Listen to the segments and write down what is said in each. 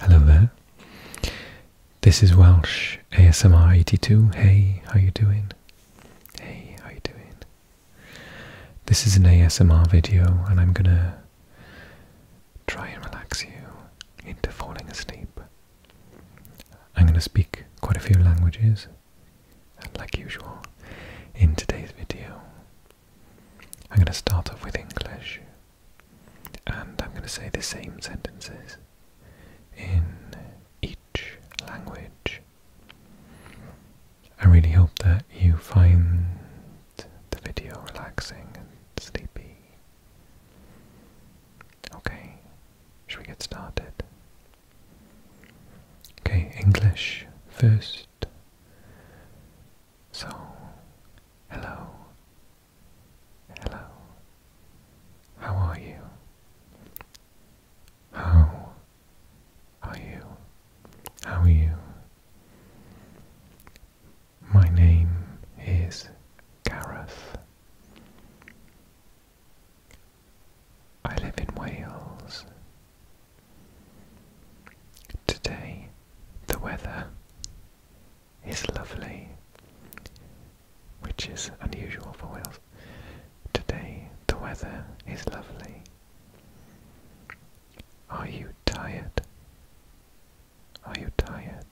Hello there. This is Welsh ASMR 82. Hey, how you doing? Hey, how you doing? This is an ASMR video and I'm going to try and relax you into falling asleep. I'm going to speak quite a few languages and like usual in today's video. I'm going to start off with English and I'm going to say the same sentences in each language. I really hope that you find the video relaxing and sleepy. Okay, should we get started? Okay, English first. So, hello, Hello. How are you? How are you? How are you? My name is Gareth. I live in Wales. Today, the weather is lovely, which is unusual for Wales. Today the weather is lovely. Are you tired? Are you tired?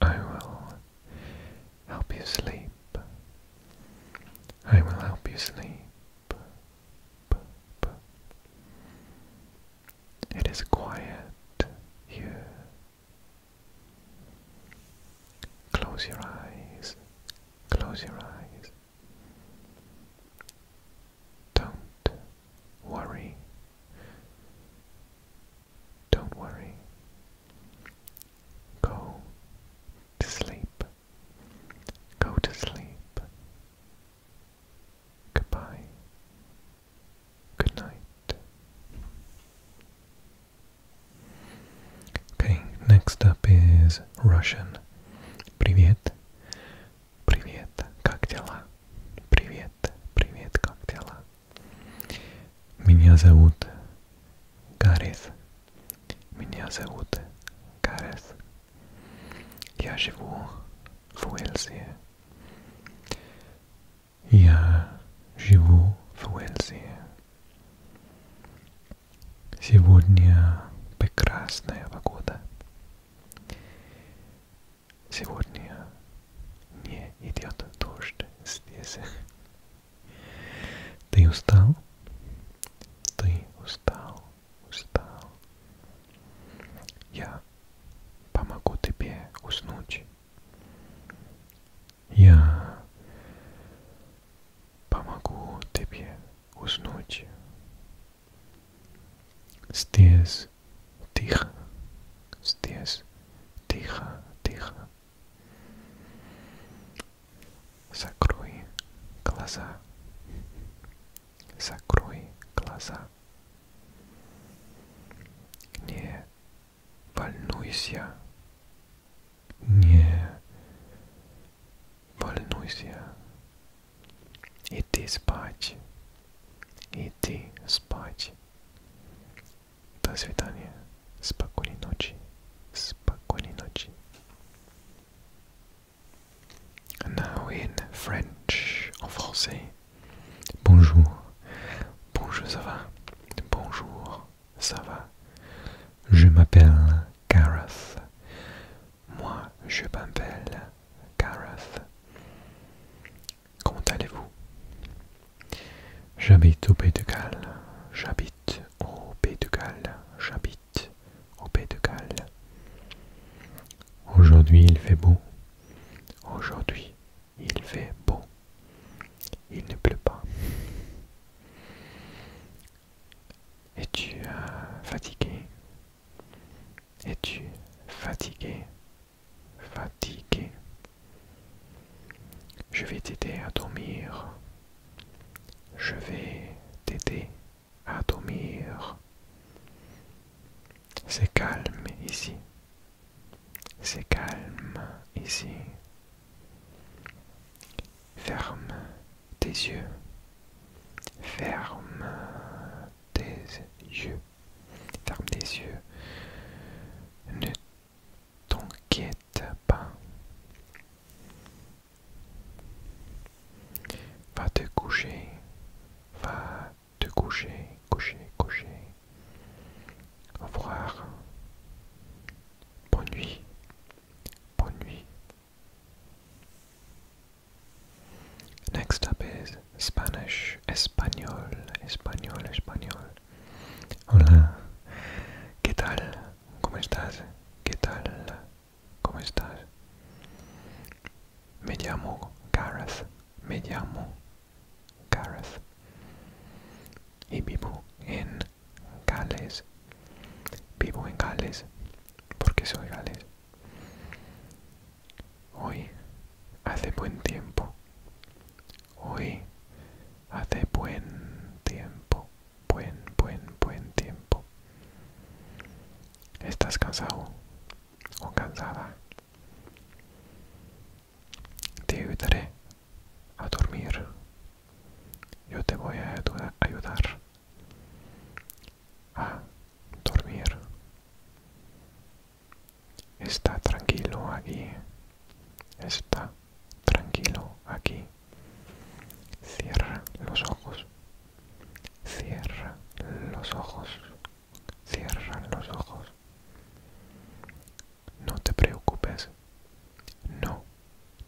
I will help you sleep. I will help you sleep. It is quiet here. Close your eyes. Close your eyes. Don't worry. Don't worry. Go to sleep. Go to sleep. Goodbye. Good night. Okay, next up is Russian. Привет. Привет. Как дела? Привет. Привет. Как дела? Меня зовут Гаррис. Меня зовут Гаррис. Я живу в Уэльсе. Я живу в Уэльсе. Сегодня прекрасная погода. Сегодня не идет дождь здесь. Ты устал? Ты устал устал. Я помогу тебе уснуть. Я помогу тебе уснуть. Здесь тихо, здесь тихо, тихо. Закрой глаза закрой глаза. Не волнуюсь я. Не волнуюсь я. Иди спать. Иди спать. До свидания. Спокойной ночи. Спокойной ночи. Now in French, en français. Bonjour. Bonjour, ça va. Bonjour, ça va. Je m'appelle Gareth. Moi, je m'appelle Gareth. Comment allez-vous J'habite au Pays de Galles. J'habite au Pays de Galles. J'habite au Pays de Galles. Aujourd'hui il fait beau. Aujourd'hui il fait beau. Il ne pleut pas. Es-tu euh, fatigué Es-tu fatigué Fatigué Je vais t'aider à dormir. Je vais t'aider à dormir. C'est calme ici. C'est calme ici. Ferme tes yeux. Ferme tes yeux. Ferme tes yeux. Ne t'inquiète pas. Va te coucher. Va te coucher, coucher, coucher. Au revoir. Bon nuit. Bonne nuit. Next up is Spanish, Español, Español, Español. Hola, ¿qué tal? ¿Cómo estás? ¿Qué tal? ¿Cómo estás? Me llamo Gareth. Me llamo Gareth. Y vivo en Gales. Vivo en Gales porque soy Gales. Hoy hace buen tiempo. Hoy hace buen tiempo. Buen, buen, buen tiempo. ¿Estás cansado? o cansada. Te ayudaré a dormir. Yo te voy a ayudar a dormir. Está tranquilo aquí. Está tranquilo aquí. Cierra los ojos. Cierra los ojos. Cierran los ojos. No te preocupes. No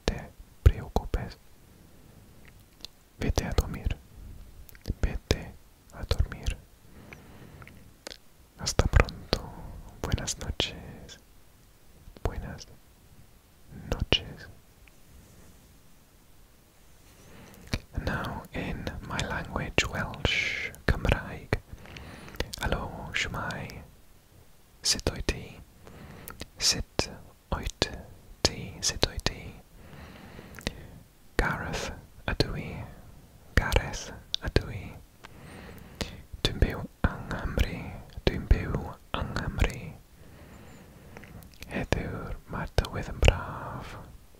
te preocupes. Vete a dormir. Vete a dormir. Hasta pronto. Buenas noches. Buenas noches. Now, in my language, Welsh, Cymraeg, Helo, shmai, Sit o'i ti, sut o't ti, sut o'i ti, Gareth ydw Gareth ydw i, Dwi'n byw yng Nghymru, dwi'n byw yng Nghymru, Heddiw'r mae'r braf.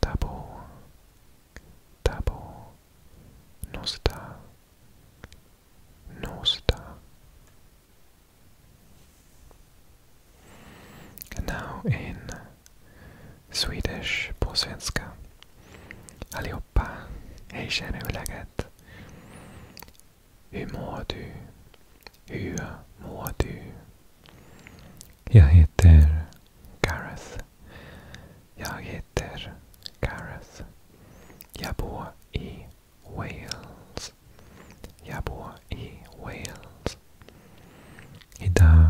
Double, double, nosta, nosta. now in Swedish på svenska. Allihopa, hej känner hur Hur mår du? Jag heter Gareth. Jag heter Gareth. Jag bor i Wales. Jag bor i Wales. Idag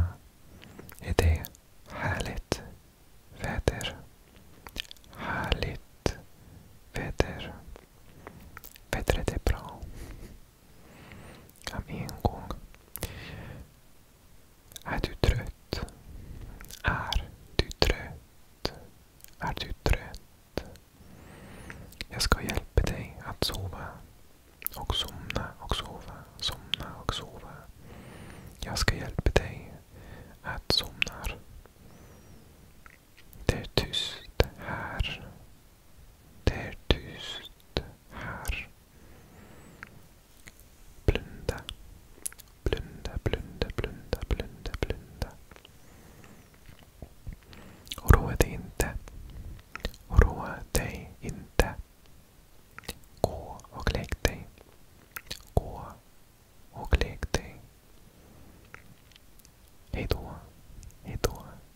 är det härligt väder. Härligt väder. Vädret är bra. Kan en gång. Är du trött? Är du trött? Är du trött? Jag ska hjälpa dig att sova. Och somna och sova, somna och sova. Jag ska hjälpa dig att somna. Det är tyst här. Det är tyst här. Blunda. Blunda, blunda, blunda, blunda, blunda. Oroa dig inte. Oroa dig inte. Gå och lägg dig. Gå och lägg dig. Hej då. Hej då.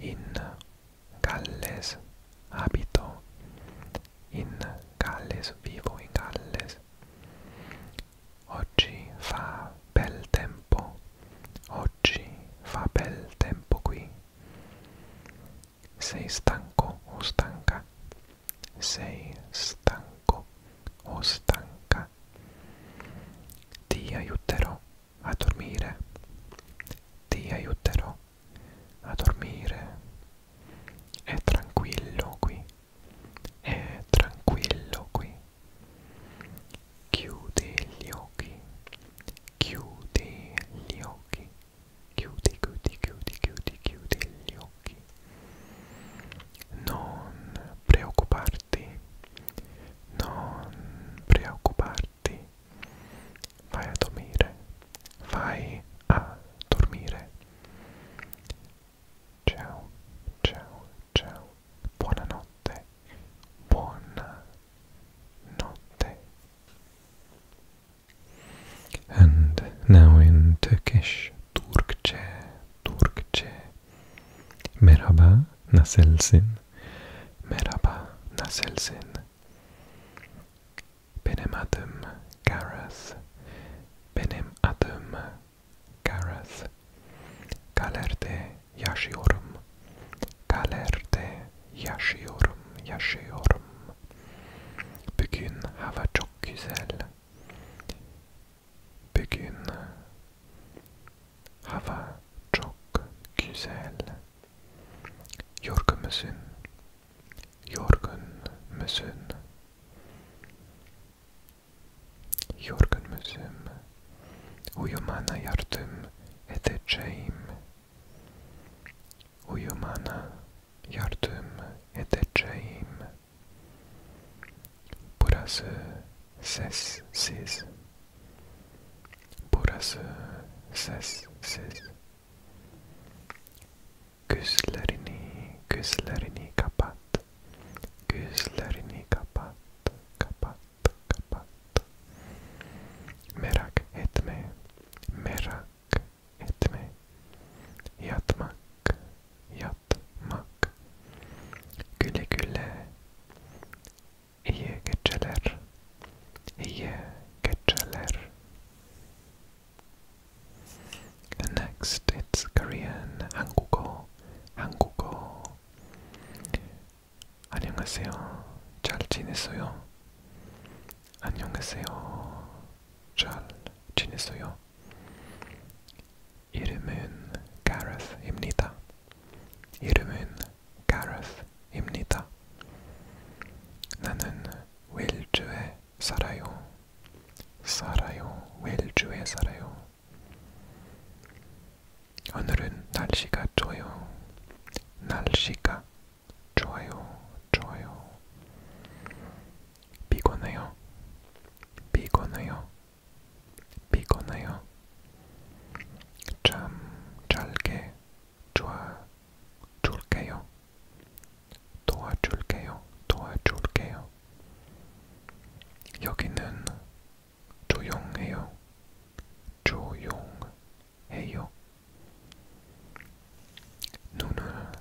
in Galles abito, in Galles vivo, in Galles. Oggi fa bel tempo, oggi fa bel tempo qui. Sei stanco o stanca? Sei stanco o stanca? Ti aiuterò a dormire ti aiuterò a dormire è tranquillo qui è tranquillo qui chiudi gli occhi chiudi gli occhi chiudi chiudi chiudi chiudi chiudi gli occhi non preoccuparti preoccuparti, non preoccuparti, vai a dormire, vai a dormire. Ciao, ciao, ciao, buonanotte, buona notte. And now in Turkish, Turkçe, Turkçe. Merhaba, nasılsın? Merhaba, nasılsın? Benim adım Karas. Benim adım Karas. Galer'de yaşıyorum. Galer'de yaşıyorum, yaşıyorum. Bugün hava çok güzel. Bugün Hava çok güzel. Yorgun musun? Yorgun musun? Yorgun musun? Uyumana yardım edeceğim. Uyumana yardım edeceğim. Burası sessiz. Burası sessiz. Gözlerini, gözlerini kapat. Gözlerini kapat, kapat, kapat. Merak etme, merak etme. Yatmak, yatmak. Güle güle, هي كتشلر هي كتشلر Next it's Korean 한국어 한국어 안녕하세요 잘 지냈어요 안녕하세요 잘 지냈어요 이름은 가라스입니다 이름은 가라스입니다. 나는 웰주에 살아요. 살아요. 웰주에 살아요. 오늘은 날씨가 좋아요. 날씨가 좋아요. 좋아요. 피곤해요. 피곤해요. 피곤해요. 참 잘게 도와줄게요. 도와줄게요. 도와줄게요. 여기는 조용해요. 조용해요. 눈을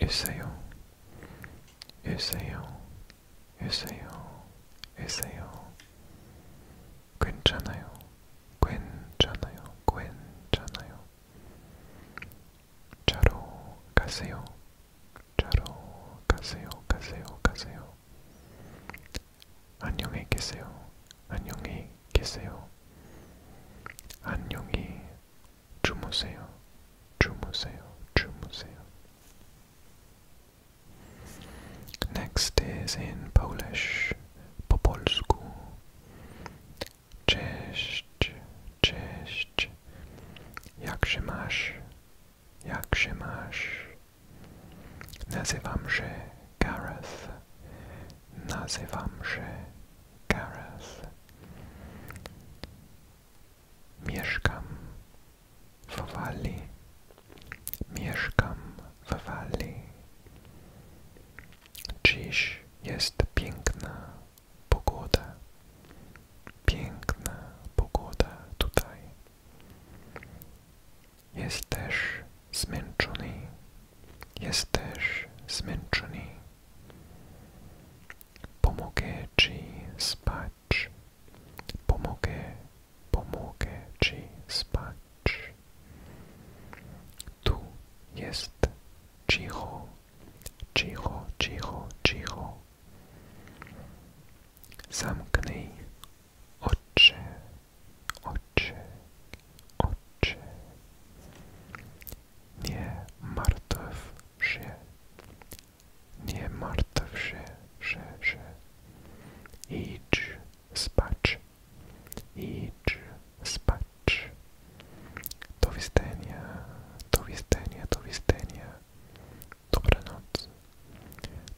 감으세요. 으세요. 있어요, 있어요. 괜찮아요, 괜찮아요, 괜찮아요. 자로 가세요, 자로 가세요, 가세요, 가세요. 안녕히 계세요, 안녕히 계세요. 안녕히 주무세요, 주무세요, 주무세요. Next is in Polish, po polsku. Cześć, cześć. Jak się masz? Jak się masz? Nazywam się Gareth. Nazywam się Gareth. Mieszkam, w Walii. Mieszkam w Walii. Dziś jest piękna pogoda. Piękna pogoda tutaj. Jesteś zmęczony. Jesteś zmęczony. Pomogę ci spać. Pomogę, pomogę ci spać. Tu jest cicho, cicho, cicho, cicho. Zamknij oczy, oczy, oczy. Nie martw się, nie martw się, że, że. Idź spać. Idź spać. Do widzenia, do widzenia, do widzenia. Dobranoc.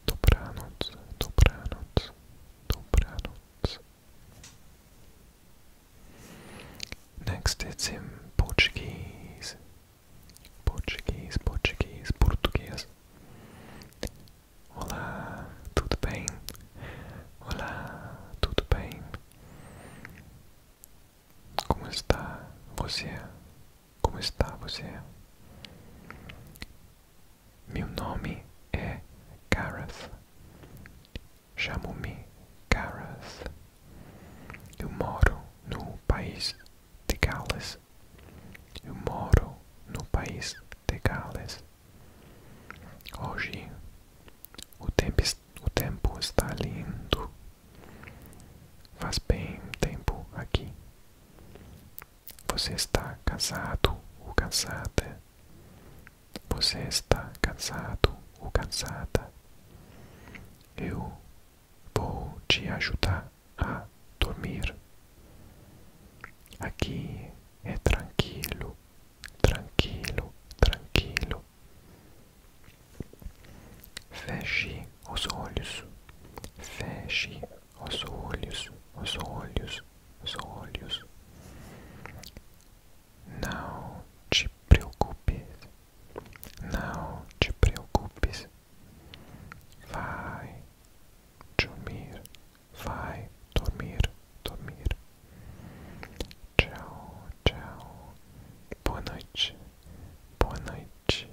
Dobranoc, dobranoc, dobranoc. Next it's in Portuguese. Portuguese, Portuguese, Portuguese. Olá, tudo bem? Olá, tudo bem? Como está você? Como está você? Meu nome é Gareth. Chamo-me Gareth. Eu moro no país de Gales. Eu moro no país de Gales. Hoje o tempo, o tempo está lindo. Faz bem tempo aqui. Você está cansado ou cansada? Você está cansado ou cansada? Eu vou te ajudar a dormir. Aqui é tranquilo, tranquilo, tranquilo. Feche os olhos, feche os olhos, os olhos, os olhos. Não te preocupes, não te preocupes Vai dormir, vai dormir, dormir. Tchau, tchau. Boa noite, boa noite.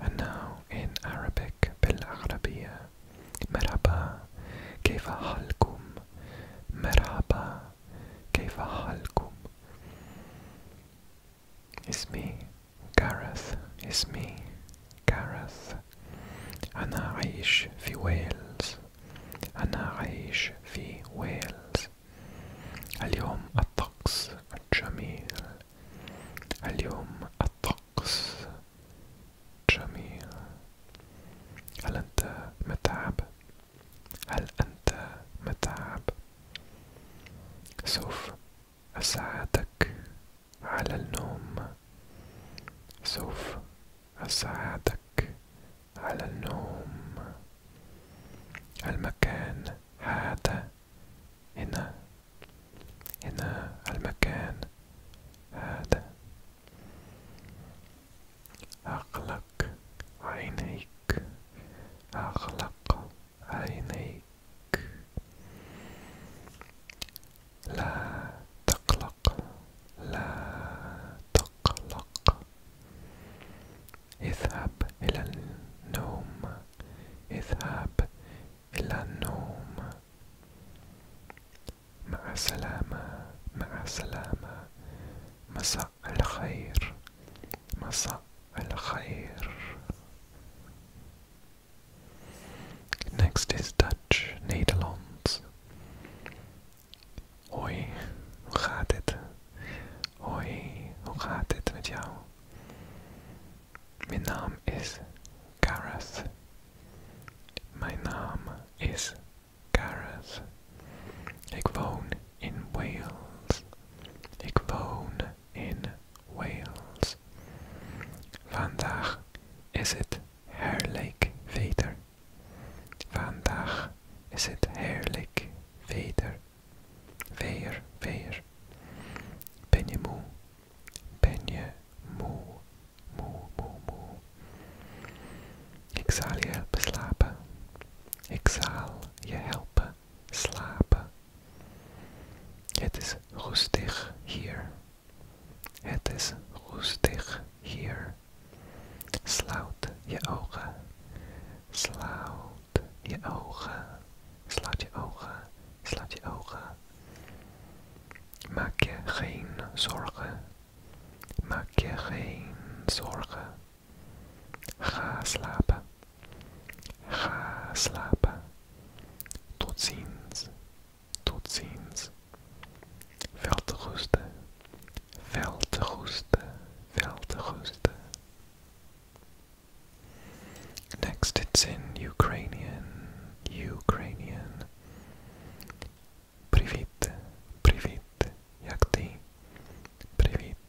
And now in Arabic, بالعربية, مرحبا, كيف حالكم? مرحبا, كيف حالكم? It's me, Gareth Ismi, Gareth أنا عايش في ويلز أنا عايش في ويلز اليوم الطقس جميل اليوم الطقس جميل هل أنت متعب؟ هل أنت متعب؟ سوف أساعدك على النوم سوف أساعدك على النوم المكان هذا هنا هنا المكان هذا أغلق عينيك أغلق عينيك لا تقلق لا تقلق اذهب إلى النوم اذهب إلى النوم مع السلامة مع السلامة مساء الخير مساء الخير. Next is Dutch Nederlands. Hoi, hoe gaat het? Hoi, hoe gaat het met jou? Mijn naam is Gareth. Mijn naam is Gareth. Ik woon in Wales. Ik woon in Wales. Vandaag is het heerlijk veder. Vandaag is het heerlijk veder. Weer, weer. Ben je moe? Ben je moe? Moe, moe, moe. Ik zal je helpen slapen. Ik zal je helpen liggen Het is rustig hier. Het is rustig hier. Sluit je ogen. Sluit je ogen. Sluit je ogen. Sluit je ogen. Maak je geen zorgen. Maak je geen zorgen. Ga slapen. Ga slapen. Tot ziens. Tot ziens. Veel te rusten. Veel te rusten. te Next it's in Ukrainian. Ukrainian. Privit. Privit. Як ти? Привіт.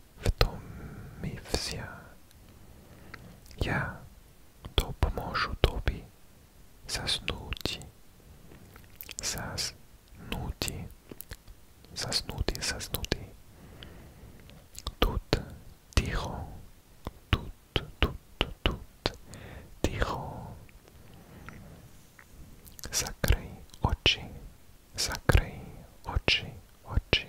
v tom mi vzia. Ja to pomôžu doby zasnúti. Zasnúti. Zasnúti, zasnúti. Tut, ticho. Tut, tut, tut, ticho. Zakrej oči. Zakrej oči, oči,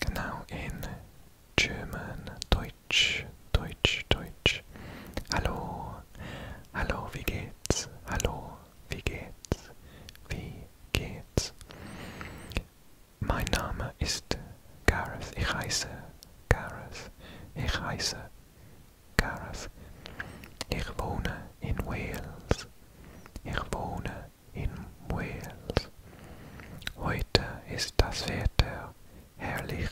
Genau, in German, Deutsch, Deutsch, Deutsch. Hallo, hallo, wie geht's? Hallo, wie geht's? Wie geht's? Mein Name ist Gareth, ich heiße Gareth, ich heiße Gareth. Ich wohne in Wales. Ich wohne in Wales. Heute ist das Wetter herrlich.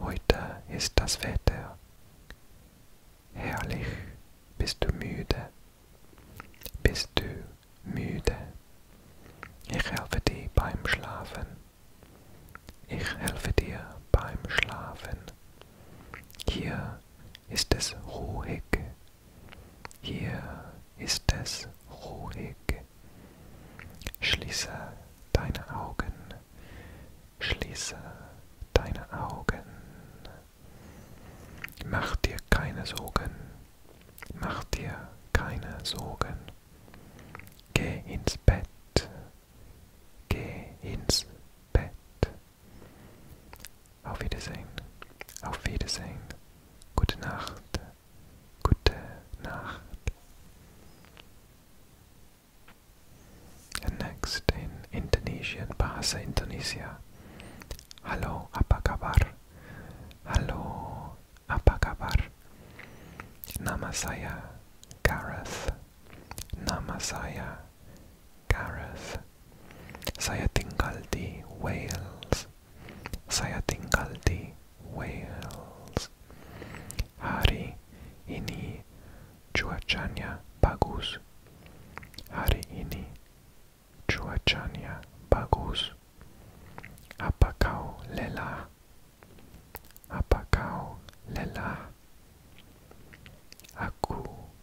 Heute ist das Wetter herrlich. Bist du müde? Bist du müde? Ich helfe dir beim Schlafen. Ich helfe dir beim Schlafen. Hier ist es ruhig hier ist es ruhig. Schließe deine Augen. Schließe deine Augen. Mach dir keine Sorgen. Mach dir keine Sorgen. Geh ins Bett. Geh ins Bett. Auf Wiedersehen. Auf Wiedersehen. Gute Nacht. Gute Nacht. And next in Indonesian Bahasa Indonesia. Halo, apa kabar? Halo, apa kabar? Nama saya Gareth. Nama saya Gareth, saya tinggal di Wales, saya tinggal di Wales. Hari ini cuacanya bagus. Hari ini cuacanya bagus. Apa kau lelah? Apa kau lelah? Aku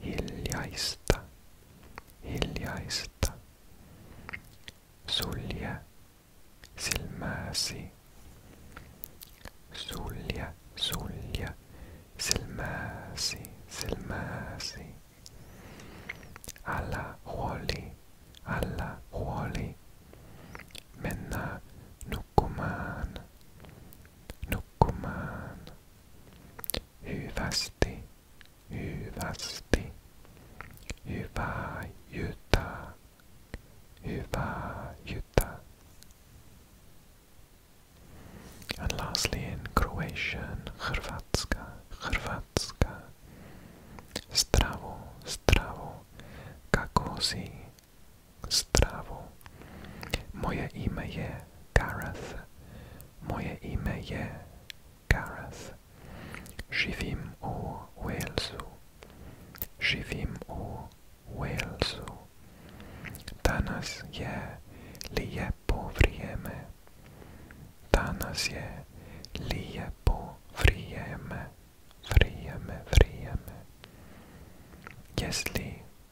Hiljaista. Hiljaista. Sulje silmäsi. Sulje, sulje silmäsi, silmäsi. Älä huoli, älä huoli. Mennä nukkumaan, nukkumaan. hyvästi, hyvästi. Hyvää jytää, hyvää jytää. And lastly in Croatian, Hrvatska, Hrvatska. Stravo, stravo. Kako si? Stravo. Moje ime je Gareth. Moje ime je Gareth. Živím u Walesu. Živím u Walesu. Danas je lijepo vrijeme. Danas je lijepo vrijeme. Vrijeme, vrijeme. Jestli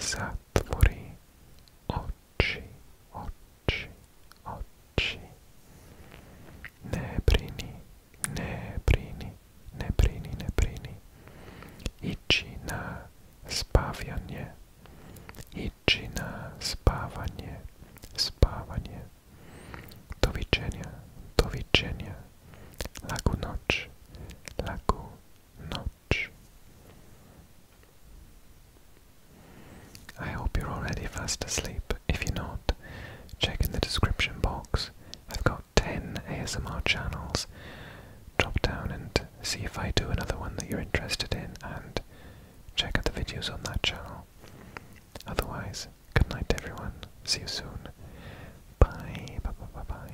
zatvori oči, oči, oči. Ne brini, ne brini, ne ne brini. Ići na spavanje, ići na spavanje, spavanje. Doviđenja, doviđenja. Laku noć, laku noć. I hope you're already fast asleep. If you're not, check in the description box. I've got 10 ASMR channels. Drop down and see if I do another one that you're interested in and check out the videos on that channel. Otherwise, good night everyone. See you soon. Bye. bye.